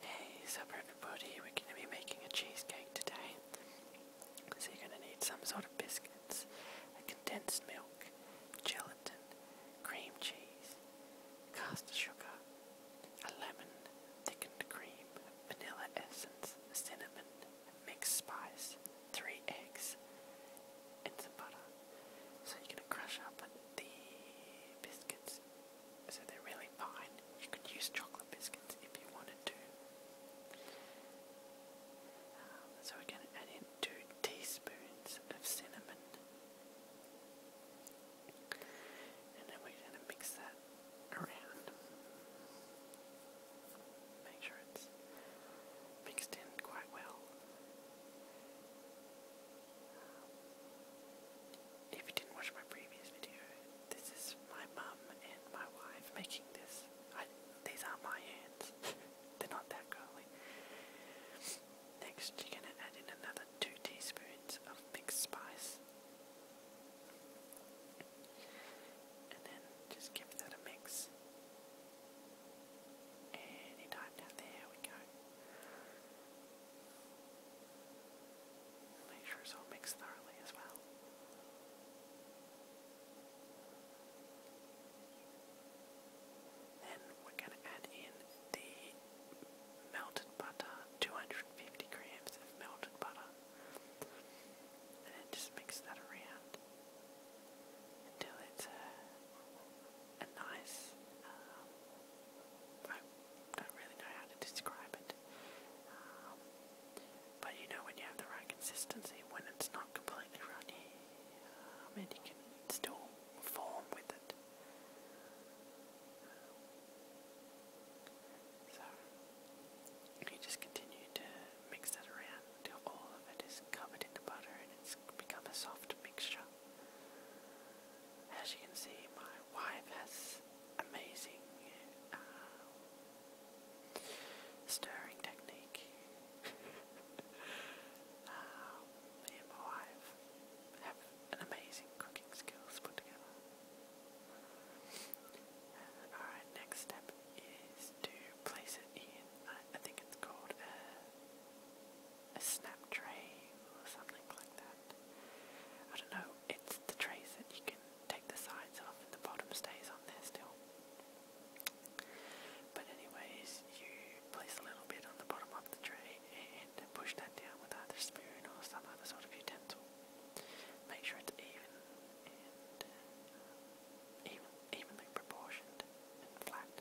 Hey, supper everybody, we're going to be making a cheesecake today. So you're going to need some sort of biscuits, a condensed milk, gelatin, cream cheese, caster sugar, a lemon, thickened cream, vanilla essence, cinnamon, mixed spice, three eggs, and some butter. So you're going to crush up the biscuits so they're really fine. You could use chocolate biscuits if you wanted to. Um, so we're going to add in two teaspoons of cinnamon. And then we're going to mix that around. Make sure it's mixed in quite well. If you didn't watch my previous video, this is my mum and my wife making this. these are my hands. They're not that curly. Next, you're gonna add in another two teaspoons of mixed spice. And then just give that a mix. Anytime now, there we go. Make sure so it makes thoroughly as well. Then we're going to add in the melted butter, 250 grams of melted butter. And just mix that around until it's uh, and nice. Uh, I don't really know how to describe it. Um, but you know, when you have the right consistency, when it's not completely runny, um, and you can still form with it. so, you just continue to mix that around until all of it is covered in the butter and it's become a soft mixture. As you can see, my wife has amazing uh, stirring technique. Uh, me and my wife have an amazing cooking skills put together. Alright, uh, next step is to place it in, I, think it's called a snap tray or something like that. I don't know, it's the trays that you can take the sides off and the bottom stays on there still. But anyways, you place a little bit on the bottom of the tray and push that down with either spoon or some other sort of utensil. Make sure it's even uh, even evenly proportioned and flat.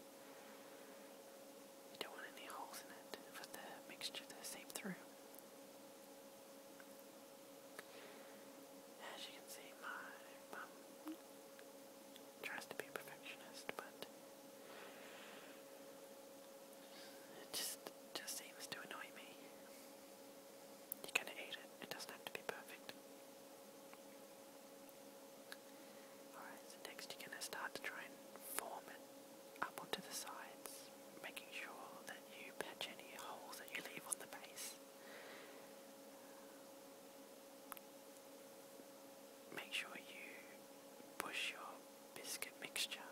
You don't want any holes in it for the mixture to seep through. As you can see, my tries to be perfectionist, but it just just seems to annoy me. You can eat it; it doesn't have to be perfect. Alright, so next you're going to start to try and form it up onto the sides, making sure that you patch any holes that you leave on the base. Make sure you push your biscuit mixture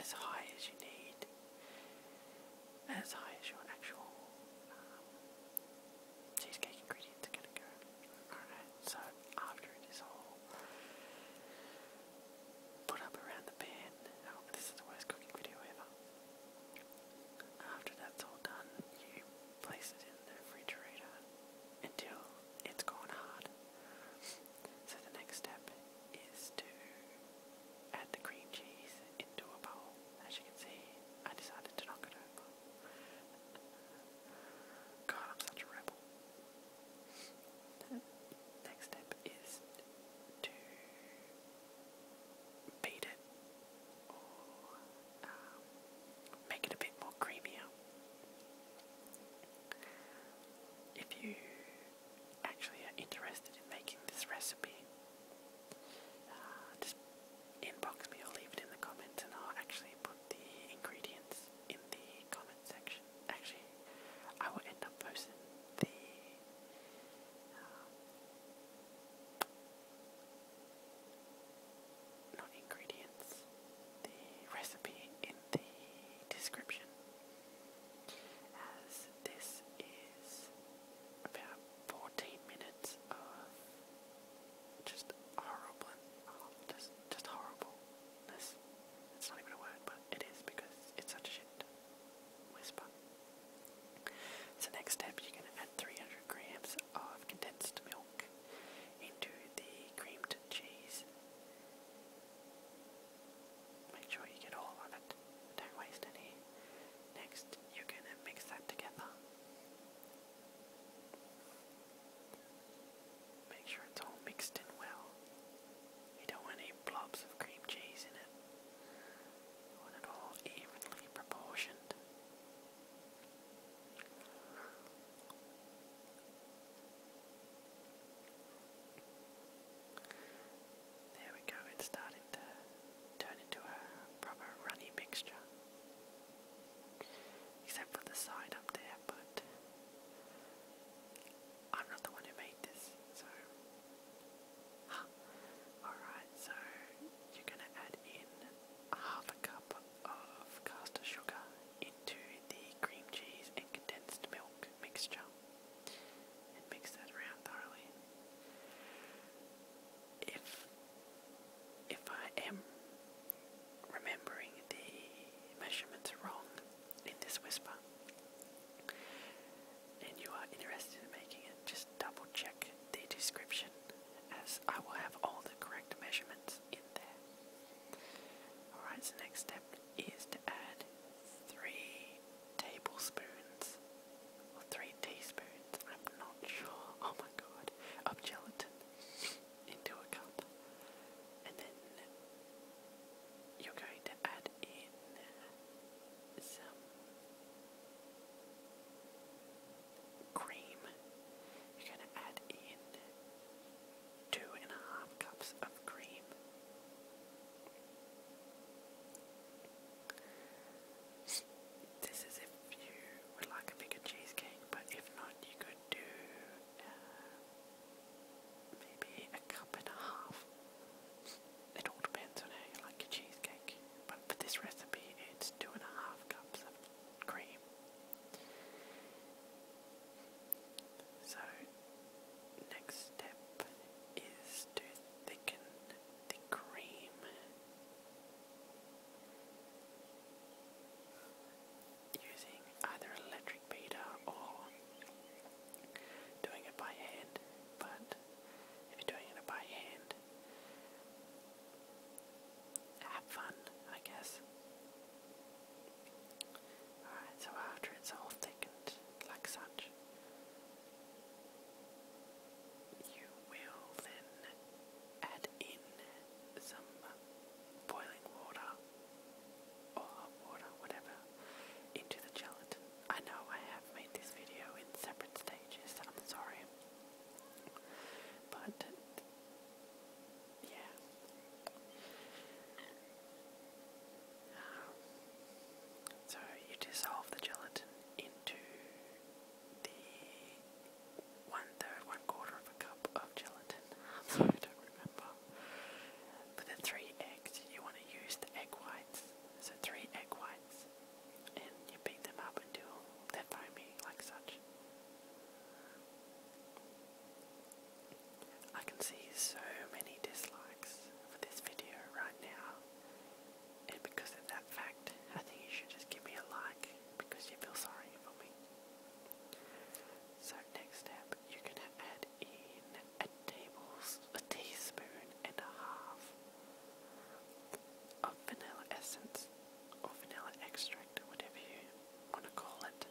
as high as you need, as high as your actual um, cheesecake ingredients are gonna go. Alright, so after it is all put up around the pan, oh, this is the worst cooking video ever. After that's all done, you place it in the refrigerator until it's gone hard. So the next step is to add the cream cheese into a bowl. As you can see, I decided to knock it over. God, I'm such a rebel. Next step is to beat it um, make it a bit more creamier. If you actually are interested in making this recipe, uh, just inbox me or leave it in the comments, and I'll actually put the ingredients in the comment section. Actually, I will end up posting the. Uh, not ingredients, the recipe in the description. As this is about 14 minutes of just horrible, oh, just, just horribleness. It's not even a word, but it is because it's such a shit whisper. So next step, you're going to add 300 grams of condensed milk into the creamed cheese. Make sure you get all of it. Don't waste any. Next, you're going to mix that together. Make sure it's all mixed in well. You don't want any blobs of cream cheese in it. You want it all evenly proportioned. There we go, it's starting to turn into a proper runny mixture. Except for the side up there, but I'm not the one who made this, so. Alright, so you're gonna add in half a cup of caster sugar into the cream cheese and condensed milk mixture and mix that around thoroughly. If if I am remembering the measurements wrong in this whisper, and you are interested in making it, just double check the description as I will have all the correct measurements in there. Alright, so next step is to add three tablespoons or three teaspoons, I'm not sure, oh my of gelatin into a cup. And then you're going to add in some cream. You're going to add in two and a half cups of cream. This is if you would like a bigger cheesecake, but if not, you could do uh, maybe a cup and a half. It all depends on how you like your cheesecake, but for this recipe, it's two and a half cups of cream. So next step is to thicken the cream. Using either electric beater or doing it by hand, but if you're doing it by hand, have fun, I guess. Alright, so after it's all thickened like such, you will then add in some boiling water or hot water, whatever, into the gelatin. I know I have made this video in separate stages, I'm sorry. But, yeah so you dissolve the gelatin into the one third, one quarter of a cup of gelatin. I don't remember. For the three eggs, you want to use the egg whites. So three egg whites, and you beat them up until they're foamy, like such. I can see so many dislikes for this video right now, and because of that fact, I think you should just give me a like because you feel sorry for me. So next step, you're gonna add in a tables, teaspoon and a half of vanilla essence or vanilla extract, whatever you want to call it.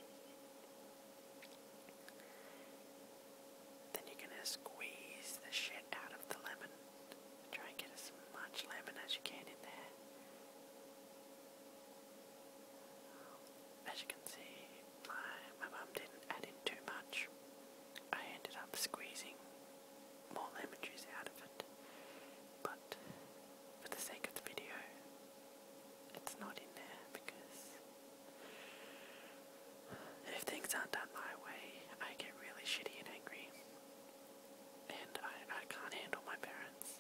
Then you're going to squeeze the shit out of the lemon. Try and get as much lemon as you can in there. As you can see, my my mum didn't add in too much. I ended up squeezing more lemon juice out of it, but for the sake of the video, it's not in there because if things aren't done my way, I get really shitty and angry. And I, I can't handle my parents.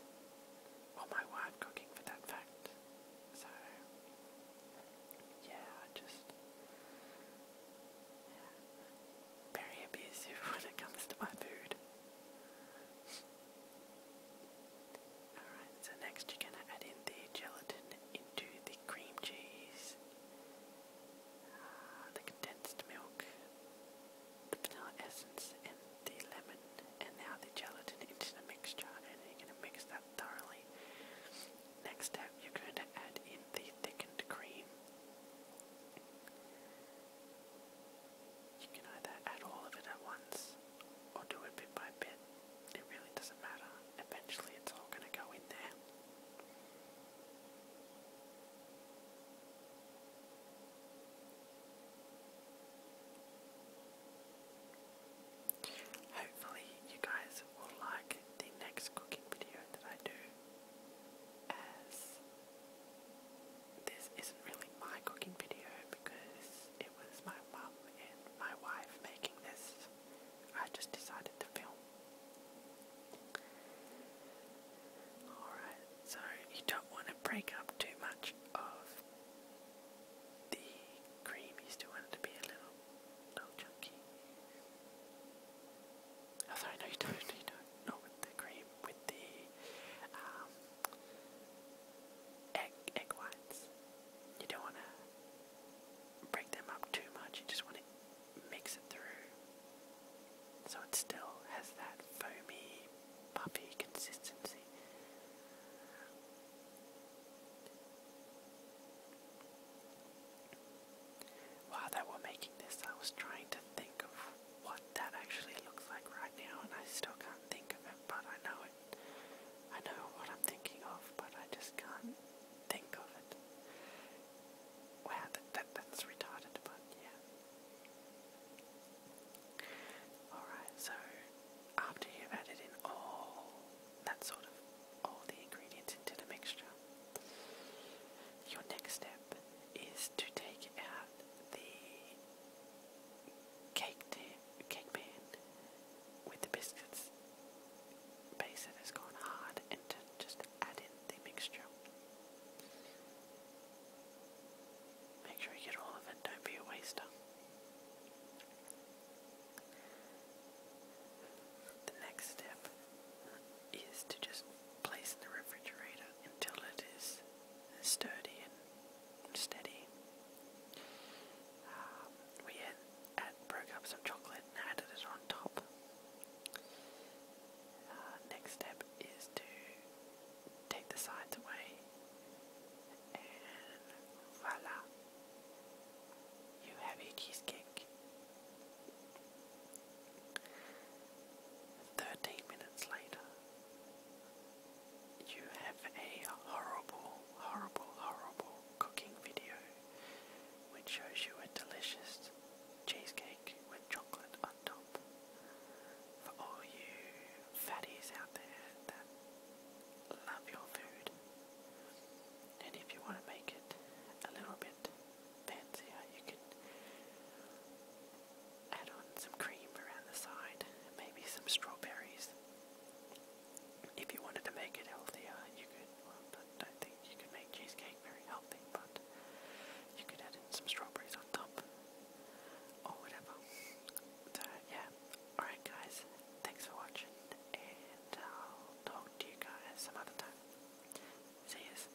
Or my wife cooking for that fact. So, yeah, I just. very abusive when it comes to my food. Alright, so next you're going to add in the gelatin into the cream cheese, ah, the condensed milk, the vanilla essence, and the lemon, and now the gelatin into the mixture, and you're going to mix that thoroughly. Next step, you're going to add in the thickened cream. You can either add all of it at once or do it bit by bit. It really doesn't matter. Eventually, it's all going to go in there. Hopefully, you guys will like the next cooking video that I do, as this isn't really my cooking video because was my mom and my wife making this. I just decided to film. Alright, so you don't want to break up too much of the cream. You still want it to be a little, little chunky. Oh, sorry, no, you don't. You don't. Not with the cream. With the um, egg whites. You don't want to break them up too much. You just want to mix it through, so it still has that foamy, puffy consistency. While they were making this, I was trying to think of what that actually looks like right now, and I still can't think of it, but I know it I know what I'm thinking of, but I just can't think of it. Wow, that, that's retarded, but yeah. Alright, so after you've added in all that sort of all the ingredients into the mixture, your next step is to take out the cake cake pan with the biscuits base that has gone hard and just add in the mixture. Make sure you get all of it, don't be a waster. The next step is to just place in the refrigerator until it is sturdy and steady. Um, we broke up some chocolate and added it on top. Uh, next step is to take the sides away, and voila, you have a cheesecake. 13 minutes later, you have a horrible, horrible, horrible cooking video which shows you a delicious cheesecake with chocolate on top. For all you fatties out there that love your food, and if you want to make it a little bit fancier, you can Add on some cream around the side, and maybe some strawberries. If you wanted to make it healthier, you could, well, I don't think you could make cheesecake very healthy, but you could add in some strawberries on top, or whatever. So, yeah. Alright guys, thanks for watching, and I'll talk to you guys some other time. See yous.